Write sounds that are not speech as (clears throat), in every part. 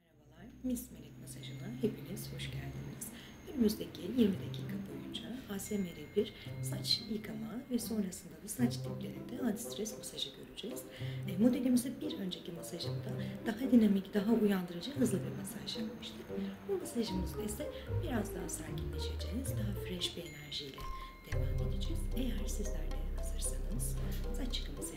Merhabalar, Miss Melek Masajı'na hepiniz hoş geldiniz. Önümüzdeki 20 dakika boyunca ASMR1 saç yıkama ve sonrasında da saç diplerinde antistres masajı göreceğiz. E, modelimizi bir önceki masajında daha dinamik, daha uyandırıcı, hızlı bir masaj yapmıştık. Bu masajımızda ise biraz daha sakinleşeceğiz, daha fresh bir enerjiyle devam edeceğiz. Eğer sizler de hazırsanız saç yıkaması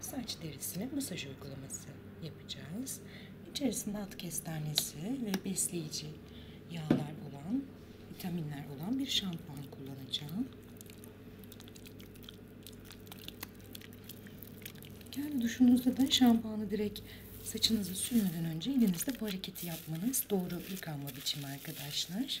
saç derisine masaj uygulaması yapacağız. İçerisinde at kestanesi ve besleyici yağlar olan, vitaminler olan bir şampuan kullanacağım. Yani duşunuzda da şampuanı direkt saçınızı sürmeden önce elinizde bu hareketi yapmanız doğru yıkanma biçimi arkadaşlar.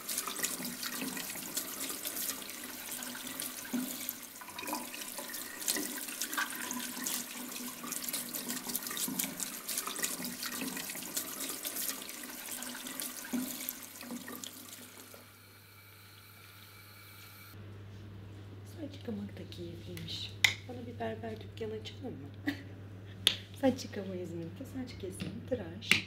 Saç yıkamak da keyifliymiş. Bana bir berber dükkanı açalım mı? (laughs) saç yıkama İzmir'de saç kesimi, tıraş,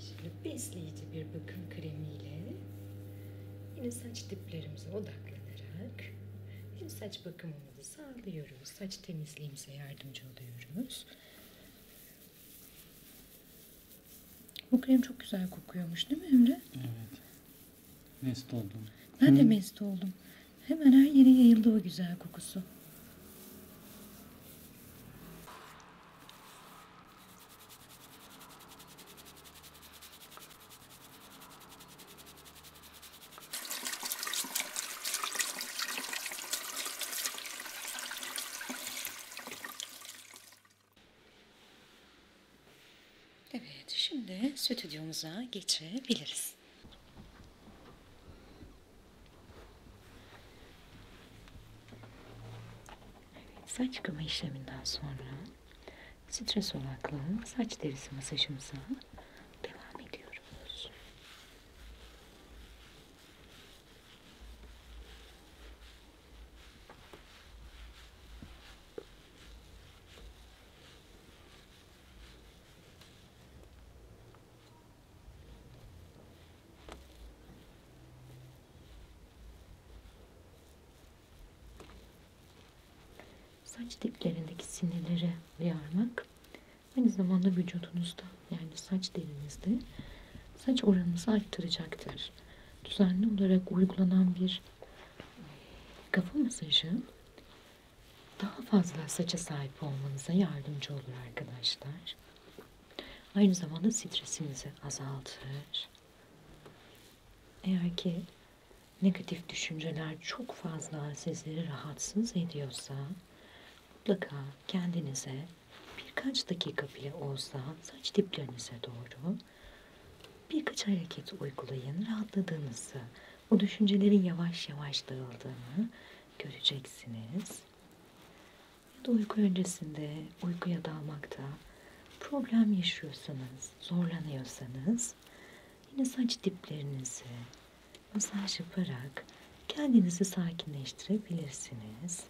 Şimdi besleyici bir bakım kremiyle yine saç diplerimize odaklanarak hem saç bakımımızı sağlıyoruz, saç temizliğimize yardımcı oluyoruz. Bu krem çok güzel kokuyormuş değil mi Emre? Evet. Mest oldum. Ben de mest oldum. Hemen her yere yayıldı o güzel kokusu. Evet, şimdi stüdyomuza geçebiliriz. Evet, saç yıkama işleminden sonra stres odaklı saç derisi masajımıza devam ediyoruz. Saç diplerindeki sinirlere uyarmak aynı zamanda vücudunuzda yani saç derinizde saç oranınızı arttıracaktır. Düzenli olarak uygulanan bir kafa masajı daha fazla saça sahip olmanıza yardımcı olur arkadaşlar. Aynı zamanda stresinizi azaltır. Eğer ki negatif düşünceler çok fazla sizleri rahatsız ediyorsa mutlaka kendinize birkaç dakika bile olsa saç diplerinize doğru birkaç hareket uygulayın. Rahatladığınızı o düşüncelerin yavaş yavaş dağıldığını göreceksiniz. Ya da uyku öncesinde uykuya dalmakta problem yaşıyorsanız, zorlanıyorsanız yine saç diplerinizi masaj yaparak kendinizi sakinleştirebilirsiniz.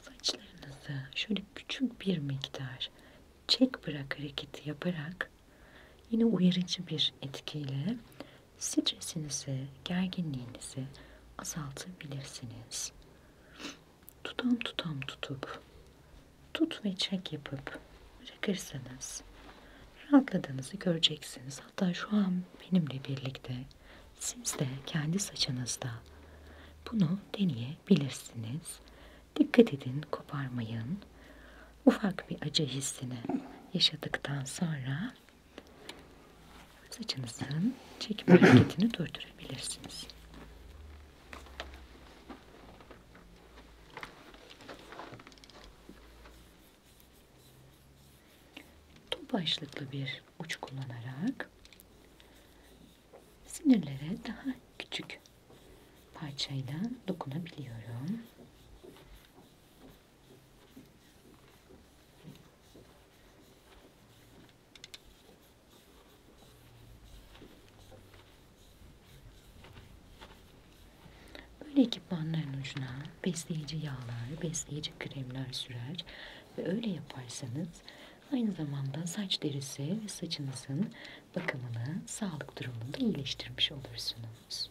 Saçlarınızı şöyle küçük bir miktar çek bırak hareketi yaparak yine uyarıcı bir etkiyle stresinizi, gerginliğinizi azaltabilirsiniz. Tutam tutam tutup, tut ve çek yapıp bırakırsanız rahatladığınızı göreceksiniz. Hatta şu an benimle birlikte siz de kendi saçınızda bunu deneyebilirsiniz. Dikkat edin, koparmayın. Ufak bir acı hissini yaşadıktan sonra saçınızın çekim (clears throat) hareketini durdurabilirsiniz. Top başlıklı bir uç kullanarak sinirlere daha küçük parçayla dokunabiliyorum. Böyle ekipmanların ucuna besleyici yağlar, besleyici kremler sürer ve öyle yaparsanız Aynı zamanda saç derisi ve saçınızın bakımını, sağlık durumunu da iyileştirmiş olursunuz.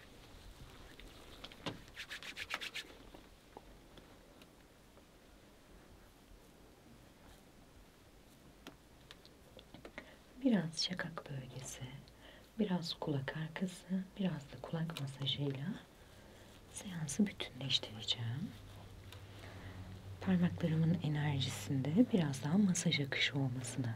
Biraz şakak bölgesi, biraz kulak arkası, biraz da kulak masajıyla seansı bütünleştireceğim. Parmaklarımın enerjisinde biraz daha masaj akışı olmasını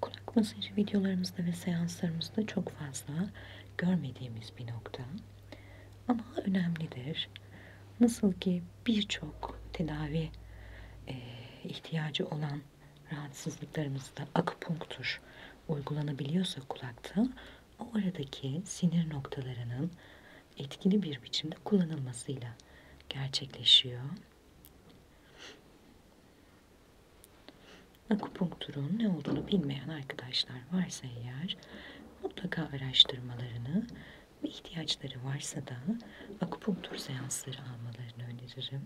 Kulak masajı videolarımızda ve seanslarımızda çok fazla görmediğimiz bir nokta. Ama önemlidir. Nasıl ki birçok tedavi e, ihtiyacı olan rahatsızlıklarımızda akupunktur uygulanabiliyorsa kulakta, oradaki sinir noktalarının etkili bir biçimde kullanılmasıyla gerçekleşiyor. Akupunkturun ne olduğunu bilmeyen arkadaşlar varsa eğer mutlaka araştırmalarını ve ihtiyaçları varsa da akupunktur seansları almalarını öneririm.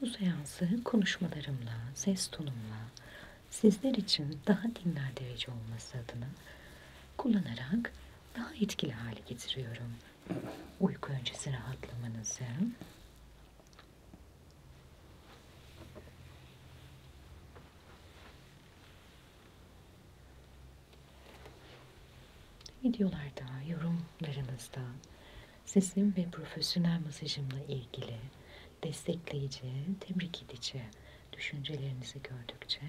Bu seansı konuşmalarımla, ses tonumla sizler için daha dinlendirici olması adına kullanarak daha etkili hale getiriyorum uyku öncesi rahatlamanızı videolarda, yorumlarınızda sesim ve profesyonel masajımla ilgili destekleyici, tebrik edici düşüncelerinizi gördükçe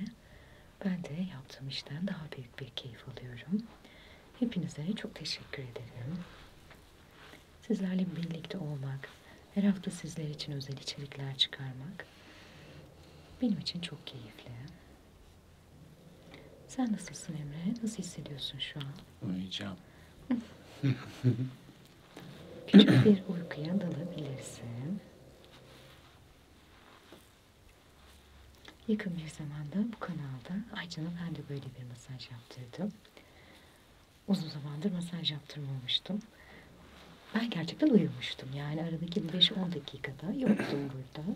ben de yaptığım işten daha büyük bir keyif alıyorum. Hepinize çok teşekkür ederim. Sizlerle birlikte olmak, her hafta sizler için özel içerikler çıkarmak benim için çok keyifli. Sen nasılsın Emre? Nasıl hissediyorsun şu an? Uyuyacağım. Küçük bir uykuya dalabilirsin. Yakın bir zamanda bu kanalda Aycan'a ben de böyle bir masaj yaptırdım. Uzun zamandır masaj yaptırmamıştım. Ben gerçekten uyumuştum. Yani aradaki 5-10 dakikada yoktum burada.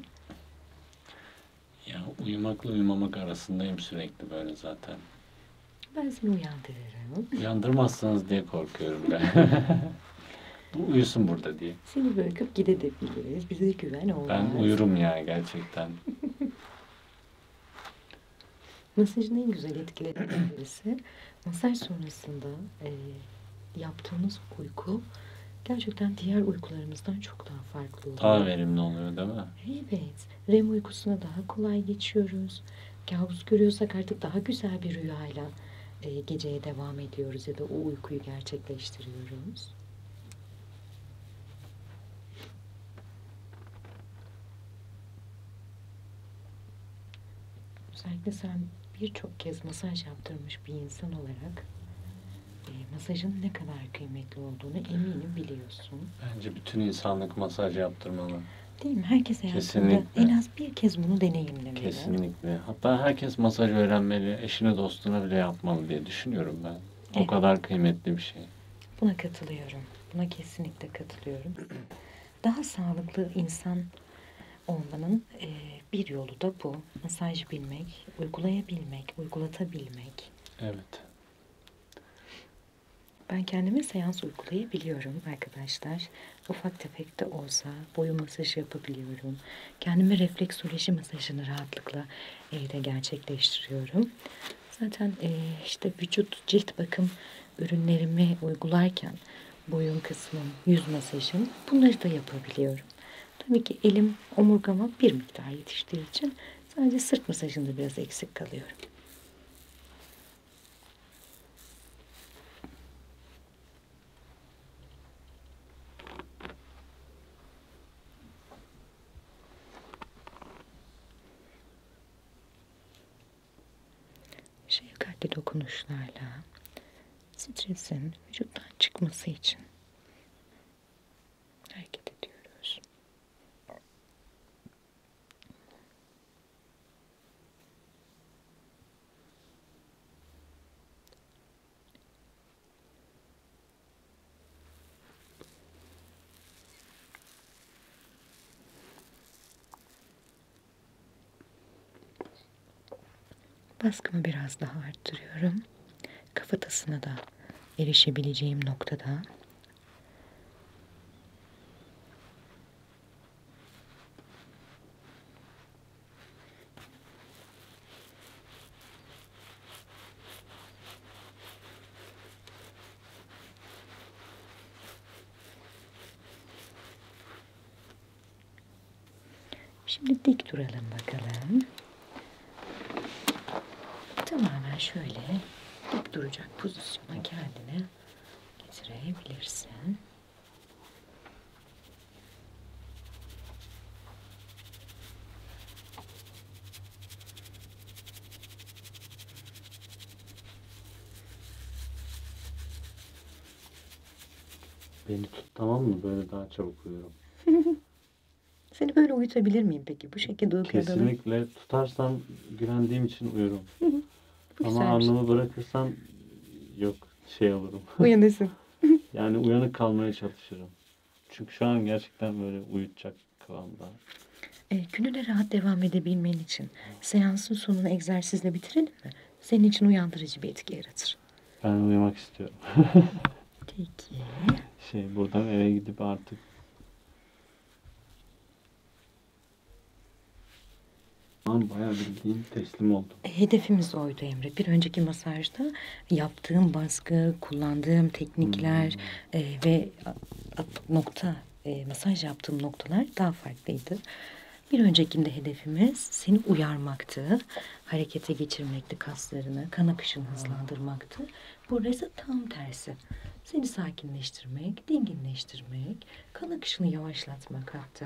Ya uyumakla uyumamak arasındayım sürekli böyle zaten. Ben seni uyandırırım. Uyandırmazsanız diye korkuyorum ben. (laughs) Bu uyusun burada diye. Seni bırakıp gidebiliriz. Bize güven olmaz. Ben uyurum ya gerçekten. Masajın en güzel etkilerinden birisi masaj sonrasında e, yaptığımız uyku gerçekten diğer uykularımızdan çok daha farklı oluyor. Daha verimli oluyor değil mi? Evet. REM uykusuna daha kolay geçiyoruz. Kabus görüyorsak artık daha güzel bir rüyayla e, geceye devam ediyoruz ya da o uykuyu gerçekleştiriyoruz. Özellikle sen birçok kez masaj yaptırmış bir insan olarak e, masajın ne kadar kıymetli olduğunu eminim biliyorsun. Bence bütün insanlık masaj yaptırmalı. Değil mi? Herkes hayatında Kesinlikle. en az bir kez bunu deneyimlemeli. Kesinlikle. Hatta herkes masaj öğrenmeli, eşine dostuna bile yapmalı diye düşünüyorum ben. O evet. kadar kıymetli bir şey. Buna katılıyorum. Buna kesinlikle katılıyorum. (clears throat) Daha sağlıklı insan olmanın e, bir yolu da bu. Masaj bilmek, uygulayabilmek, uygulatabilmek. Evet. Ben kendime seans uygulayabiliyorum arkadaşlar. Ufak tefek de olsa boyu masajı yapabiliyorum kendime refleksoloji masajını rahatlıkla evde gerçekleştiriyorum. Zaten e, işte vücut cilt bakım ürünlerimi uygularken boyun kısmım, yüz masajım bunları da yapabiliyorum. Tabii ki elim omurgama bir miktar yetiştiği için sadece sırt masajında biraz eksik kalıyorum. Şefkatli dokunuşlarla stresin vücuttan çıkması için hareket ediyoruz. Baskımı biraz daha arttırıyorum. Kafatasına da erişebileceğim noktada Şimdi dik duralım bakalım. Tamamen şöyle dik duracak pozisyona kendine getirebilirsin. Beni tut tamam mı? Böyle daha çabuk uyuyorum. (laughs) Seni böyle uyutabilir miyim peki? Bu şekilde uykuya dalıp- Kesinlikle tutarsam güvendiğim için uyurum. Bu Ama güzelmiş. alnımı bırakırsam yok şey olurum. (laughs) Uyanırsın. (laughs) yani uyanık kalmaya çalışırım. Çünkü şu an gerçekten böyle uyutacak kıvamda. E, gününe rahat devam edebilmen için seansın sonunu egzersizle bitirelim mi? Senin için uyandırıcı bir etki yaratır. Ben uyumak istiyorum. (laughs) Peki. Şey buradan eve gidip artık Aman bayağı bildiğin teslim oldum. Hedefimiz oydu Emre. Bir önceki masajda yaptığım baskı, kullandığım teknikler hmm. e, ve nokta e, masaj yaptığım noktalar daha farklıydı. Bir öncekinde hedefimiz seni uyarmaktı, harekete geçirmekti kaslarını, kan akışını hmm. hızlandırmaktı. Burası tam tersi. Seni sakinleştirmek, dinginleştirmek, kan akışını yavaşlatmak hatta.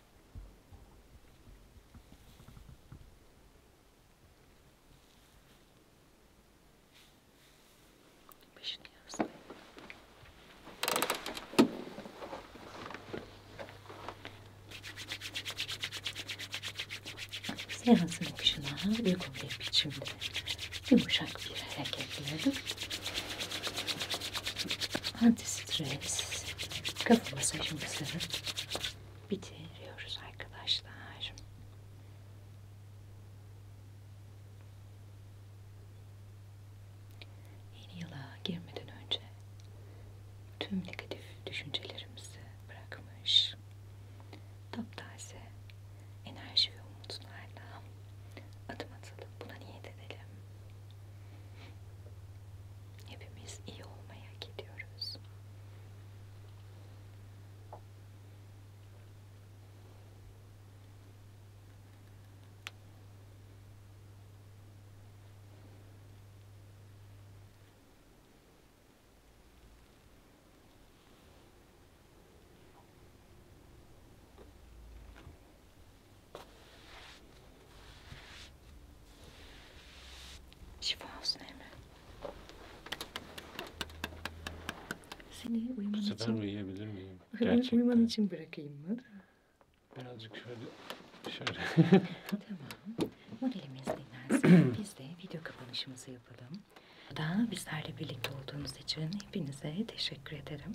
Beşini yazdım. Seansın okşularına uygun bir biçimde yumuşak bir hareketler. Ana stress, kafa masajımızı bitiriyoruz arkadaşlar. Yeni yıla girmeden önce tüm negatif düşüncelerimizi bırakmış, taptaze enerji ve umutlarla adım atalım. Buna niyet edelim. Hepimiz iyi olmaya gidiyoruz. Şifa olsun Emre. Seni uyuman Bu sefer için... uyuyabilir miyim? Gerçekten. Uyuman için bırakayım mı? Birazcık şöyle... Şöyle. (laughs) tamam. Moralimiz dinlensin. (clears throat) Biz de video kapanışımızı yapalım. Da bizlerle birlikte olduğunuz için hepinize teşekkür ederim.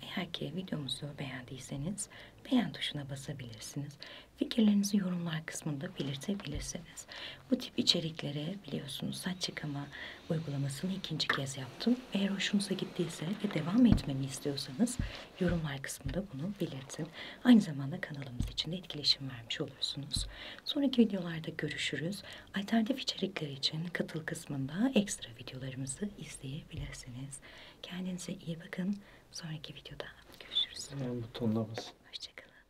Eğer ki videomuzu beğendiyseniz beğen tuşuna basabilirsiniz. Fikirlerinizi yorumlar kısmında belirtebilirsiniz. Bu tip içeriklere biliyorsunuz saç çıkama uygulamasını ikinci kez yaptım. Eğer hoşunuza gittiyse ve devam etmemi istiyorsanız yorumlar kısmında bunu belirtin. Aynı zamanda kanalımız için de etkileşim vermiş olursunuz. Sonraki videolarda görüşürüz. Alternatif içerikler için katıl kısmında ekstra videolarımızı izleyebilirsiniz. Kendinize iyi bakın. Sonraki videoda görüşürüz. Hemen butonuna basın. Hoşçakalın.